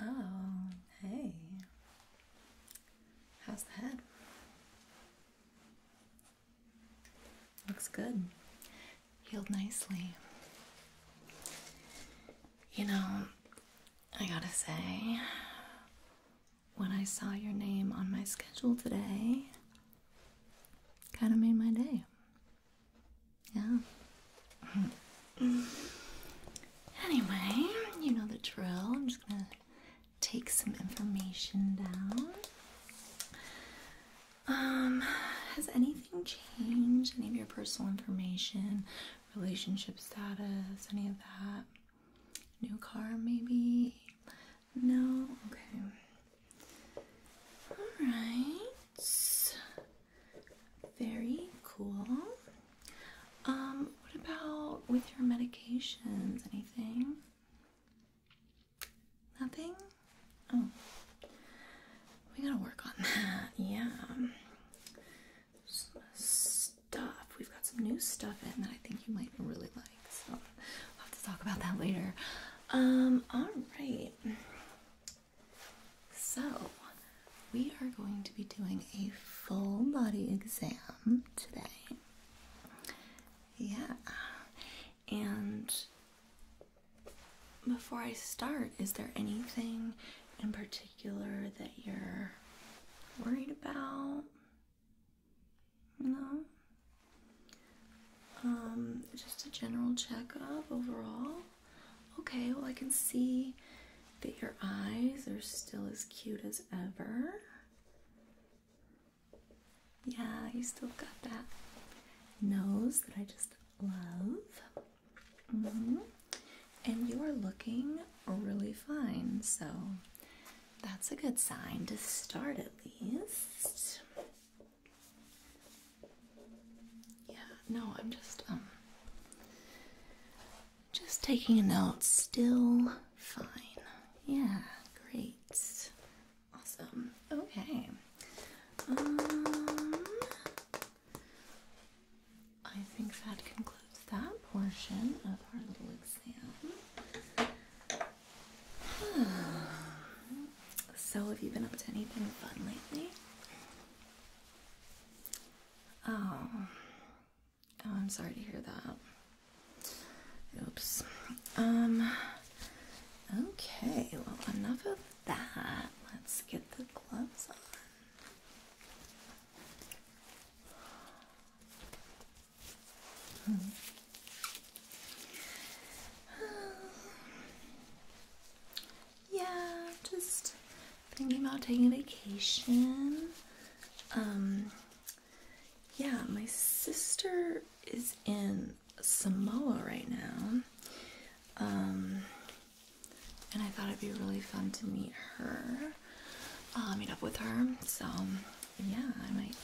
Oh, hey. How's the head? Looks good. Healed nicely. You know, I gotta say, when I saw your name on my schedule today, kind of made my day. Yeah. anyway, you know the drill. I'm just gonna take some information down. Um, has anything changed? Any of your personal information, relationship status, any of that? New car, maybe? No? Okay. All right. Very cool. Um, what about with your medications? Anything? Nothing? Oh. We gotta work on that. Yeah. stuff. We've got some new stuff in that I think you might really like. So we'll have to talk about that later. Um, alright. So, we are going to be doing a full body exam today. Yeah. And before I start, is there anything in particular that you're worried about? No? Um, just a general checkup overall. Okay, well, I can see that your eyes are still as cute as ever. Yeah, you still got that nose that I just love. Mm-hmm. And you are looking really fine, so that's a good sign to start at least. Yeah, no, I'm just um just taking a note. Still fine. Yeah, great. Awesome. Okay. Um I think that concludes that portion of our little exam so, have you been up to anything fun lately? Oh. oh. I'm sorry to hear that. Oops. Um. Okay, well, enough of that. Let's get the gloves on. Hmm. yeah, just thinking about taking a vacation. Um, yeah, my sister is in Samoa right now. Um, and I thought it'd be really fun to meet her, uh, meet up with her. So, yeah, I might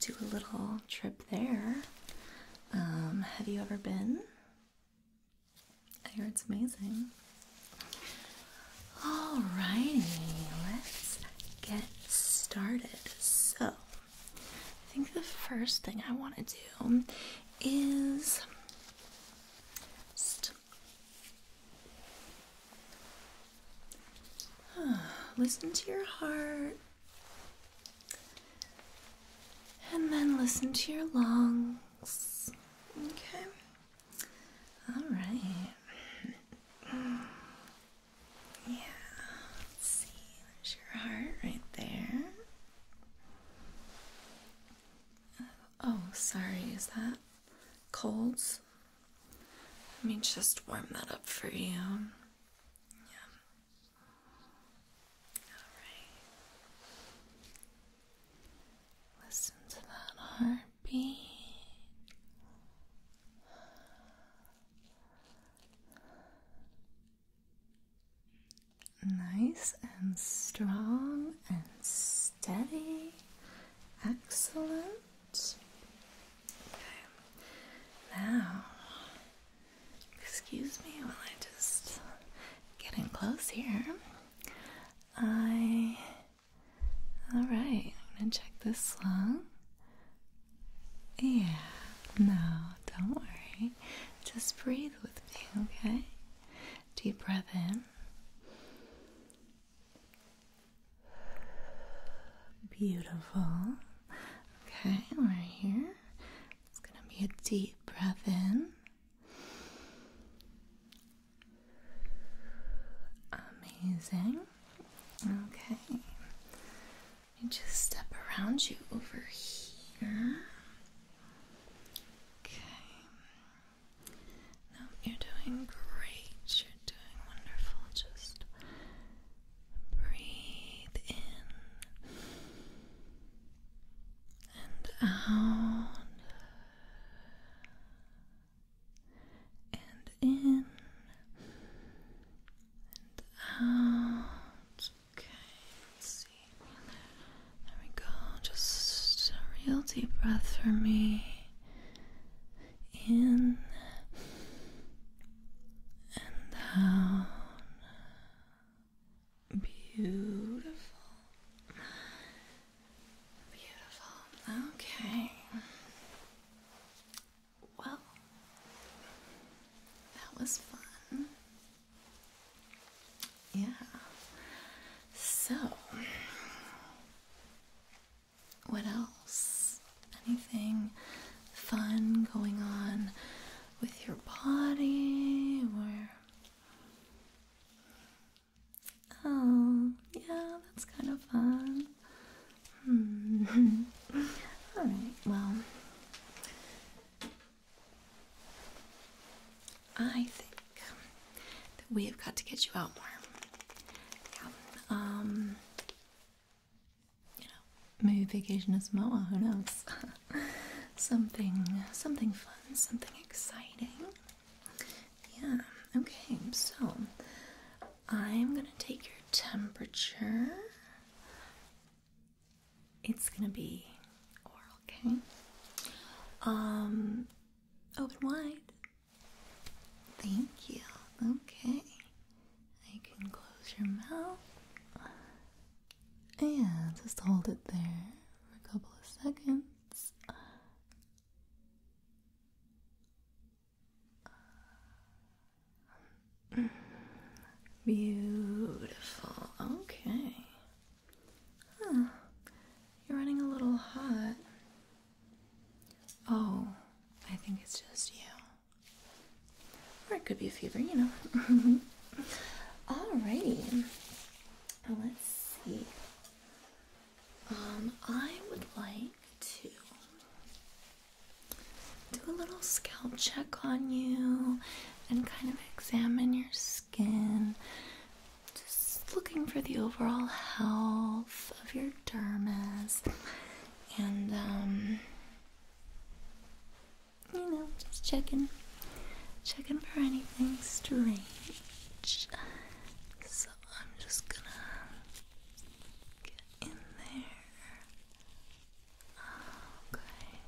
do a little trip there. Um, have you ever been? I hear it's amazing. Alrighty, let's get started. So, I think the first thing I want to do is listen to your heart. And then listen to your lungs. Okay. All right. Yeah. Let's see. There's your heart right there. Oh, sorry. Is that colds? Let me just warm that up for you. Alright. Listen to that heartbeat. Nice and strong and steady. Excellent. Okay. Now Excuse me while I just get in close here. I. Alright, I'm gonna check this lung. Yeah, no, don't worry. Just breathe with me, okay? Deep breath in. Beautiful. Okay, we're here. It's gonna be a deep breath in. Amazing. Okay. You just step around you over here. Okay. No, you're doing great. You're doing wonderful. Just Breathe in and out. And in and out. Okay, There we go. Just a real deep breath for me. In and down. Uh, beautiful. Beautiful. Okay. Well, that was fun. Yeah. So, what else anything fun going on with your body or oh yeah that's kind of fun hmm. all right well i think that we have got to get you out more um, you maybe vacation is Moa, who knows? something, something fun, something exciting. Yeah, okay, so I'm gonna take your temperature. It's gonna be oral, okay? Um, open wide. Thank you. Okay. You can close your mouth and just hold it there for a couple of seconds. Beautiful. Okay. You're running a little hot. Oh, I think it's just you. Or it could be a fever, you know. All righty, Let's see. Um, I would like to do a little scalp check on you and kind of examine your skin. Just looking for the overall health of your dermis and um, you know, just checking, checking for anything strange. So I'm just gonna get in there. Okay,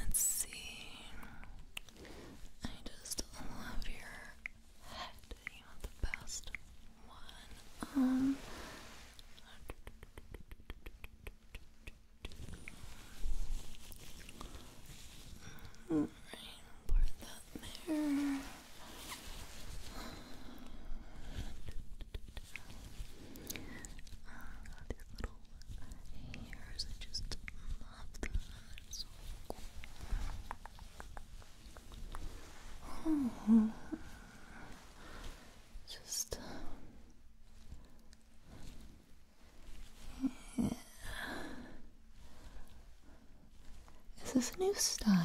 let's see. I just love your head. You know the best one. Um, all right, that there. these little hairs. I just love them. so cool. Just yeah. Is this a new style?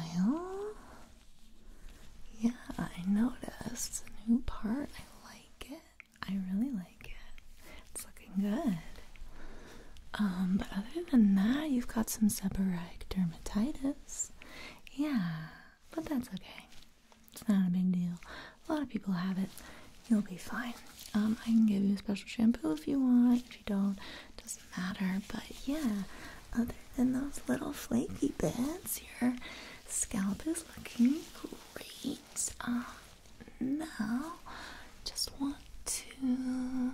Yeah, I noticed a new part. I like it. I really like it. It's looking good. Um, but other than that, you've got some seborrheic dermatitis. Yeah but that's okay. It's not a big deal. A lot of people have it. You'll be fine. Um, I can give you a special shampoo if you want. If you don't, doesn't matter. But yeah, other than those little flaky bits, your scalp is looking great. Um, now, just want to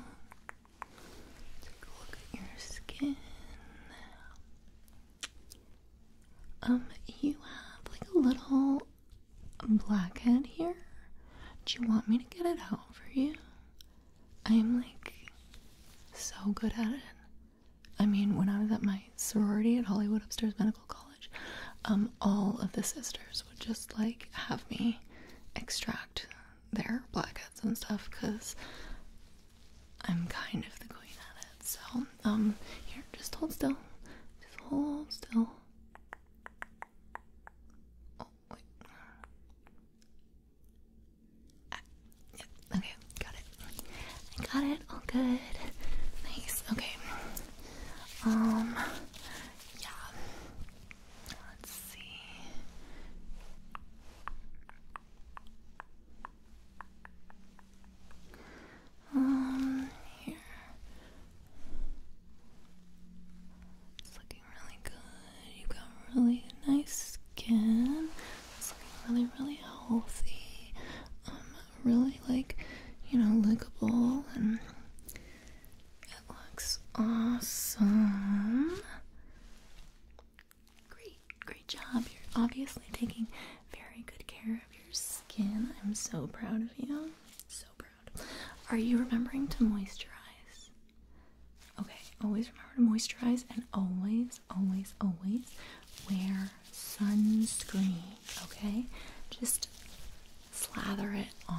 Take a look at your skin. Um, you have like a little blackhead here. Do you want me to get it out for you? I'm like so good at it. I mean, when I was at my sorority at Hollywood Upstairs Medical College, um, all of the sisters would just like have me extract their black and stuff because I'm kind of the queen at it. So, um, here, just hold still. Just hold still. Oh, wait. Ah, okay, got it. I got it. All good. Nice. Okay. Um, yeah. Let's see. Um, here. It's looking really good. You got really nice skin. It's looking really, really healthy. Um, really like, you know, lickable and it looks awesome. Great, great job. You're obviously taking very good care of your skin. I'm so proud of you. So proud. Are you remembering to moisturize? Okay, always remember to moisturize and always, always, always wear sunscreen, okay? Just slather it on.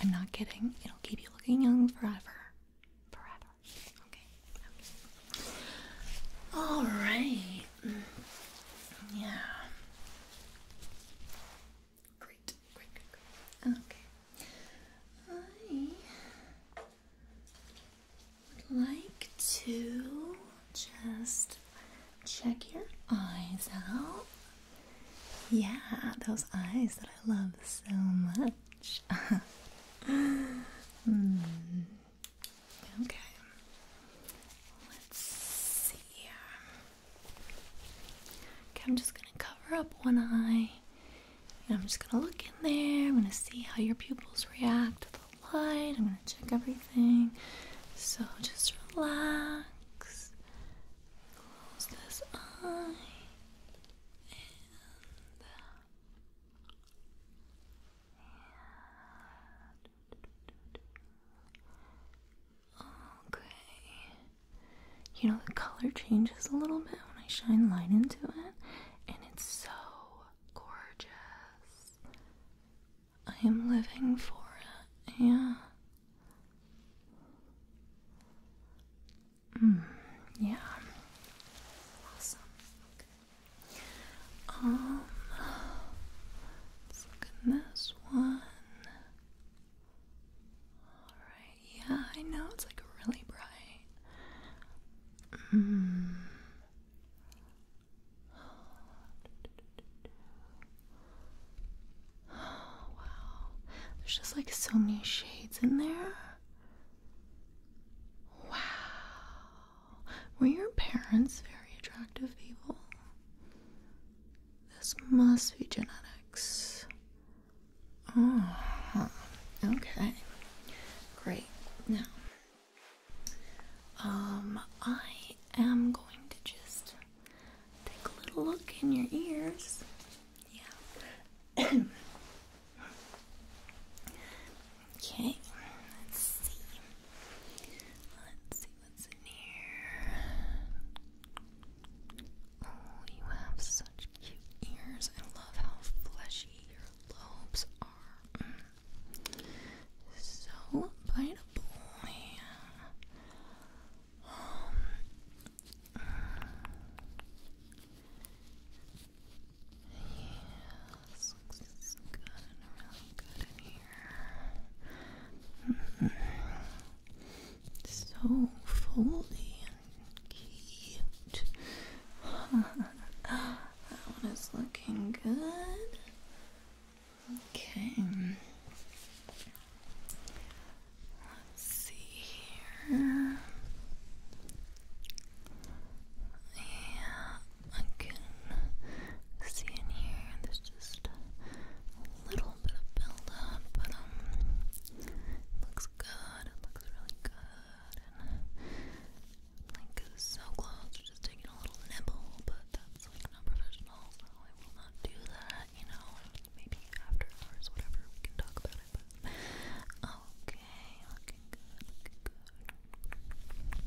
I'm not kidding. It'll keep you looking young forever. Forever. Okay. All right. Mm, yeah. Great. Great. Okay. I would like to just check your eyes out. Yeah, those eyes that I love so much. Hmm. Okay. Let's see. Okay, I'm just gonna cover up one eye. And I'm just gonna look in there. I'm gonna see how your pupils react to the light. I'm gonna check everything. So just relax. Close this eye. Uh, Okay. You know, the color changes a little bit when I shine light into it, and it's so gorgeous. I am living for it, yeah. Mm, yeah. Awesome. Um, let this one. Alright, yeah, I know it's like really bright. Mm. Oh, wow. There's just like so many shades in there. Wow. Were your parents very attractive people? This must be genetics. Oh, okay. Great. Now, um, I am going to just take a little look in your ears. Yeah. okay, let's see. Let's see what's in here. Oh, you have such cute ears. I love how fleshy your lobes are. So biteable. Uh, yes, looks good and really good in here. So fully and cute. that one is looking good. Okay. Let's see here. Yeah, I can see in here. There's just little bit of buildup, but um, looks good. It looks really good. And uh, like so close to just taking a little nibble, but that's like not professional, so I will not do that. You know, maybe after hours, whatever. We can talk about it, um, Okay, looking good,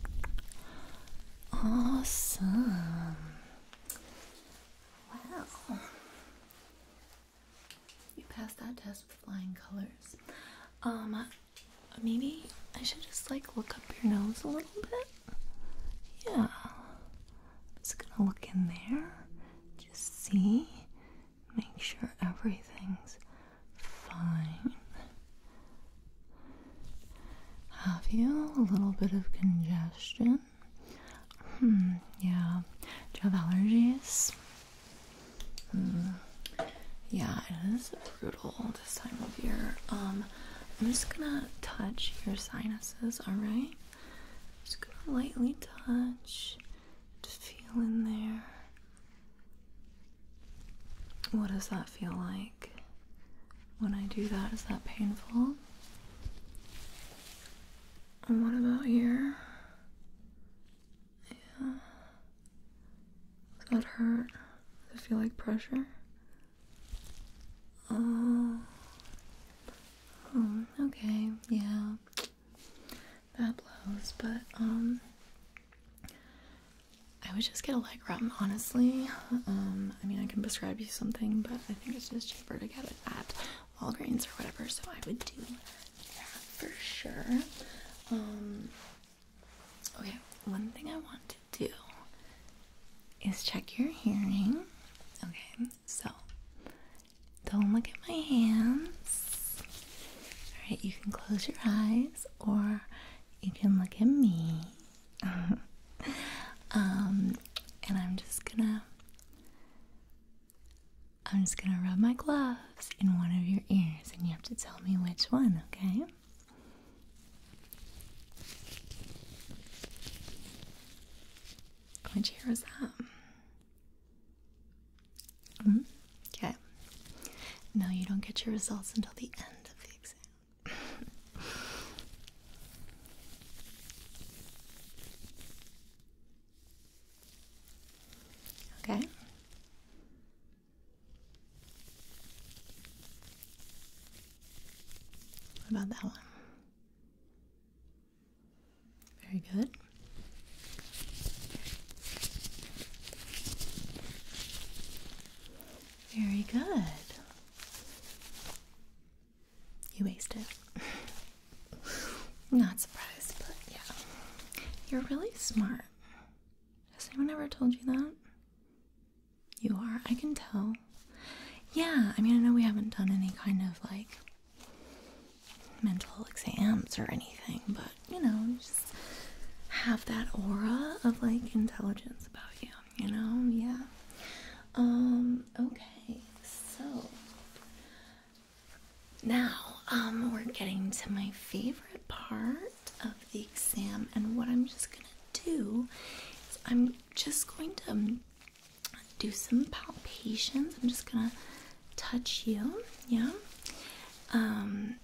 looking good. Awesome. Wow. You passed that test with flying colors. Um, maybe I should just like look up your nose a little bit. Yeah. I'm just gonna look in there. Just see make sure everything's fine. Have you a little bit of congestion? Hmm, yeah. Do you have allergies? Hmm. Yeah, it is brutal this time of year. Um, I'm just gonna touch your sinuses, alright? Just gonna lightly touch to feel in there. What does that feel like? When I do that, is that painful? And what about here? Yeah. Does that hurt? Does it feel like pressure? Oh. oh okay, yeah that blows, but um I would just get a leg room, honestly. Um, I mean I can prescribe you something, but I think it's just cheaper to get it at Walgreens or whatever, so I would do that for sure. Um okay, one thing I want to do is check your hearing. Okay, so don't look at my hands. All right, you can close your eyes or you can look at me. um, and I'm just gonna I'm just gonna rub my gloves in one of your ears, and you have to tell me which one, okay? Which ear was that? Mm-hmm. Okay. No, you don't get your results until the end of the exam. okay. What about that one? Very good. Very good. You wasted. Not surprised, but yeah. You're really smart. Has anyone ever told you that? You are. I can tell. Yeah, I mean, I know we haven't done any kind of like mental exams or anything, but you know, just have that aura of like intelligence about you, you know? Yeah. Um, okay, so now um we're getting to my favorite part of the exam and what I'm just gonna do is I'm just going to do some palpations. I'm just gonna touch you, yeah. Um,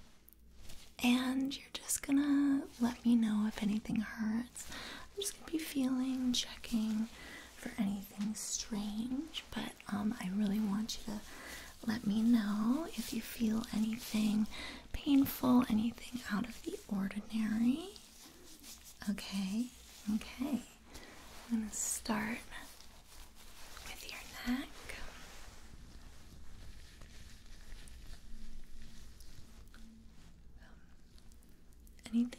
and you're just gonna let me know if anything hurts. I'm just gonna be feeling, checking for anything strange, but um, I really want you to let me know if you feel anything painful, anything out of the ordinary. Okay, okay. I'm going to start with your neck. Um, anything?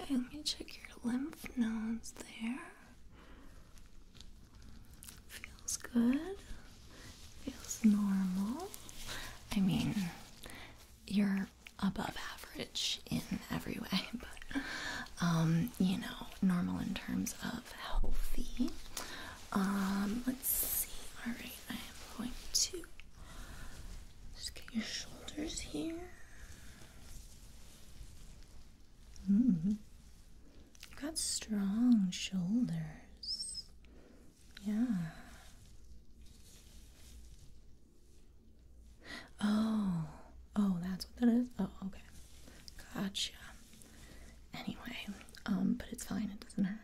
Okay, let me check your lymph nodes there. Feels good. Feels normal. I mean, you're above average in every way, but um, you know, normal in terms of healthy. Um, let's see. All right, I am going to just get your shoulders here. Mm-hmm. You've got strong shoulders. Yeah. Oh, oh, that's what that is. Oh, okay. Gotcha. Anyway, um, but it's fine. It doesn't hurt.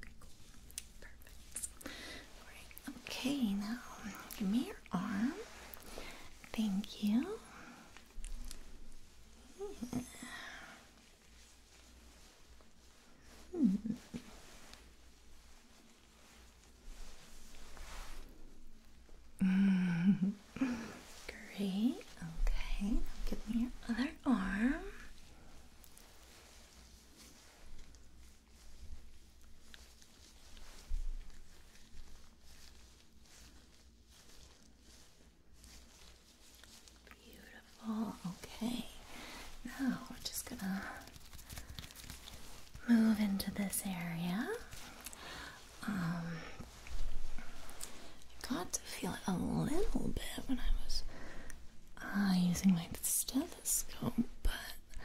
Okay, cool. Perfect. All right. Okay, now give me your arm. Thank you. Great. Okay. give me your other arm. Beautiful. Okay. Now we're just gonna move into this area. Um, got to feel it a little bit when I was uh, using my stethoscope, but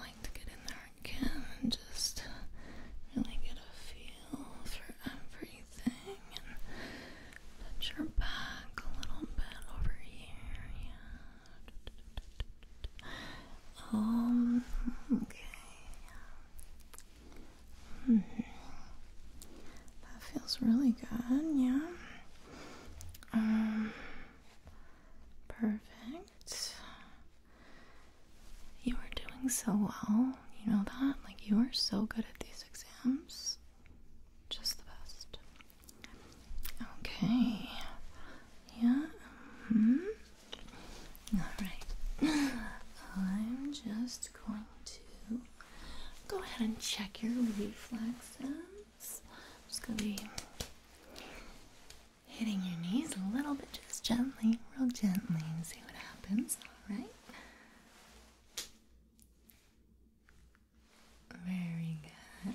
like to get in there again and just really get a feel for everything touch your back a little bit over here. Yeah. Um. Okay. Mm That feels really good. Yeah. Um. Perfect. You are doing so well. You know that? Like, you are so good at these exams. Just the best. Okay. Yeah. Mm -hmm. All right. I'm just going to go ahead and check your reflexes. just going to be hitting your knees a little bit, just gently, real gently, and see what happens. All right. Very good.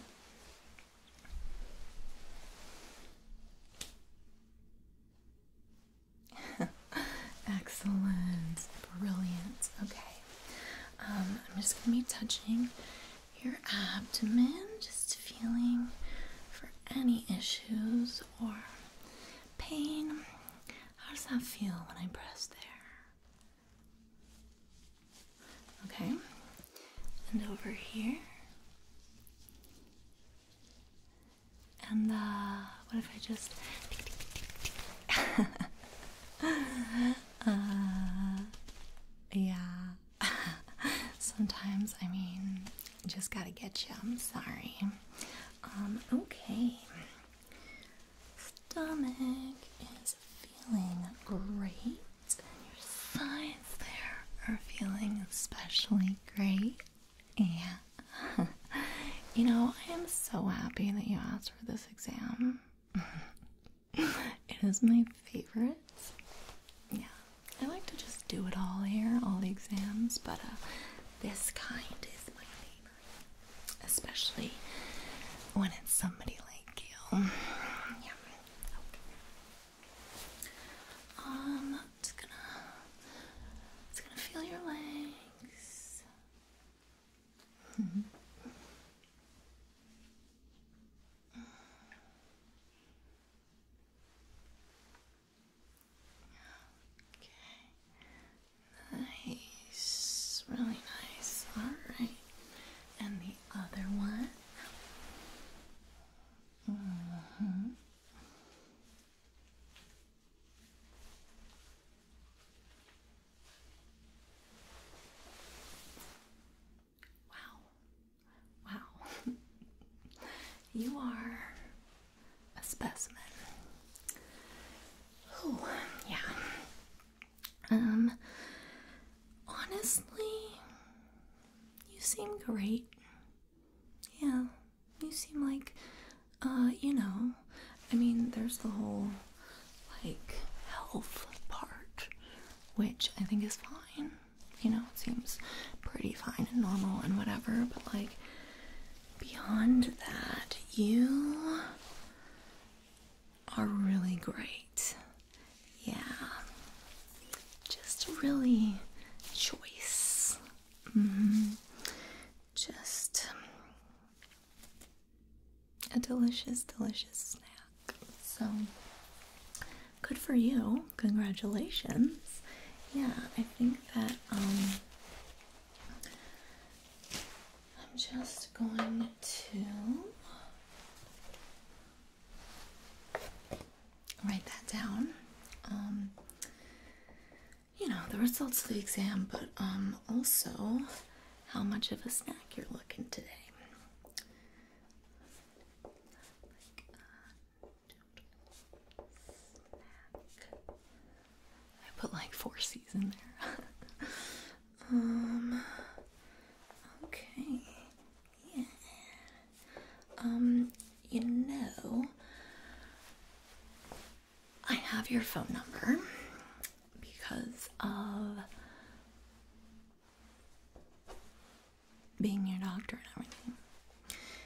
Excellent. Brilliant. Okay. Um, I'm just going to be touching your abdomen, just feeling for any issues or pain. How does that feel when I press there? Okay, and over here. And uh, what if I just. yeah. Sometimes, I mean, just gotta get you. I'm sorry. Um, okay stomach is feeling great, and your sides there are feeling especially great. Yeah. you know, I am so happy that you asked for this exam. it is my favorite. Yeah. I like to just do it all here, all the exams, but uh, this kind is my especially when it's somebody like you. I'm um, just gonna, just gonna feel your legs. Mm-hmm. Mm-hmm. Okay. Nice, really nice. Alright. And the other one. Mm-hmm. Wow. Wow. you are a specimen. Oh, yeah. Um, honestly, you seem great. Yeah, you seem like, uh, you know, I mean, there's the whole, like, health part, which I think is fine. You know, it seems pretty fine and normal and whatever, but like, beyond that, you are really great. Yeah. Just really choice. Mm-hmm. Just a delicious, delicious snack. So good for you. Congratulations. Yeah, I think that um I'm just going to write that down. Um, you know, the results of the exam, but um, also how much of a snack you're looking today. Uh, I put like four C's in there. Um, okay, Um, you know, I have your phone number because of being your doctor and everything.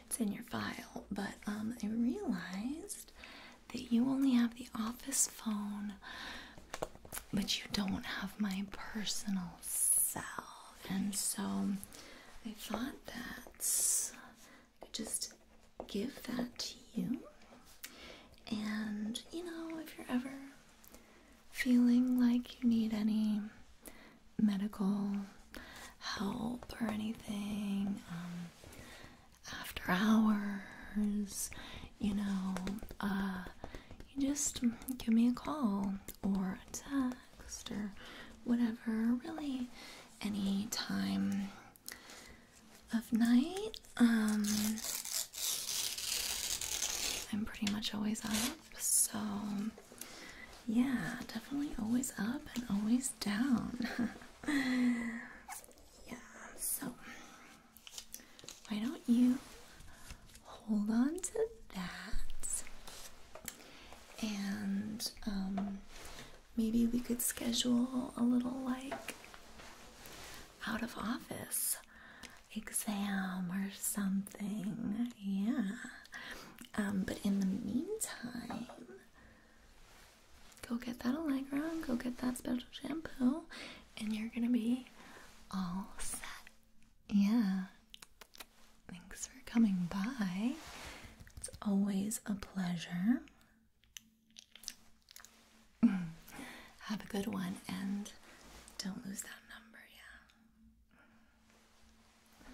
It's in your file, but um, I realized that you only have the office phone, but you don't have my personal cell. And so I thought that I could just give that to you. And you know, if you're ever feeling like you need any medical help or anything, um, after hours, you know, uh, you just give me a call or a text or whatever, really anytime of night. Um, I'm pretty much always up, so yeah, definitely always up and always down. Yeah, so why don't you hold on to that and um, maybe we could schedule a little like out of office exam or something. Yeah. Um, but in the meantime, Go get that Allegra, go get that special shampoo, and you're gonna be all set. Yeah. Thanks for coming by. It's always a pleasure. Have a good one and don't lose that number, yeah.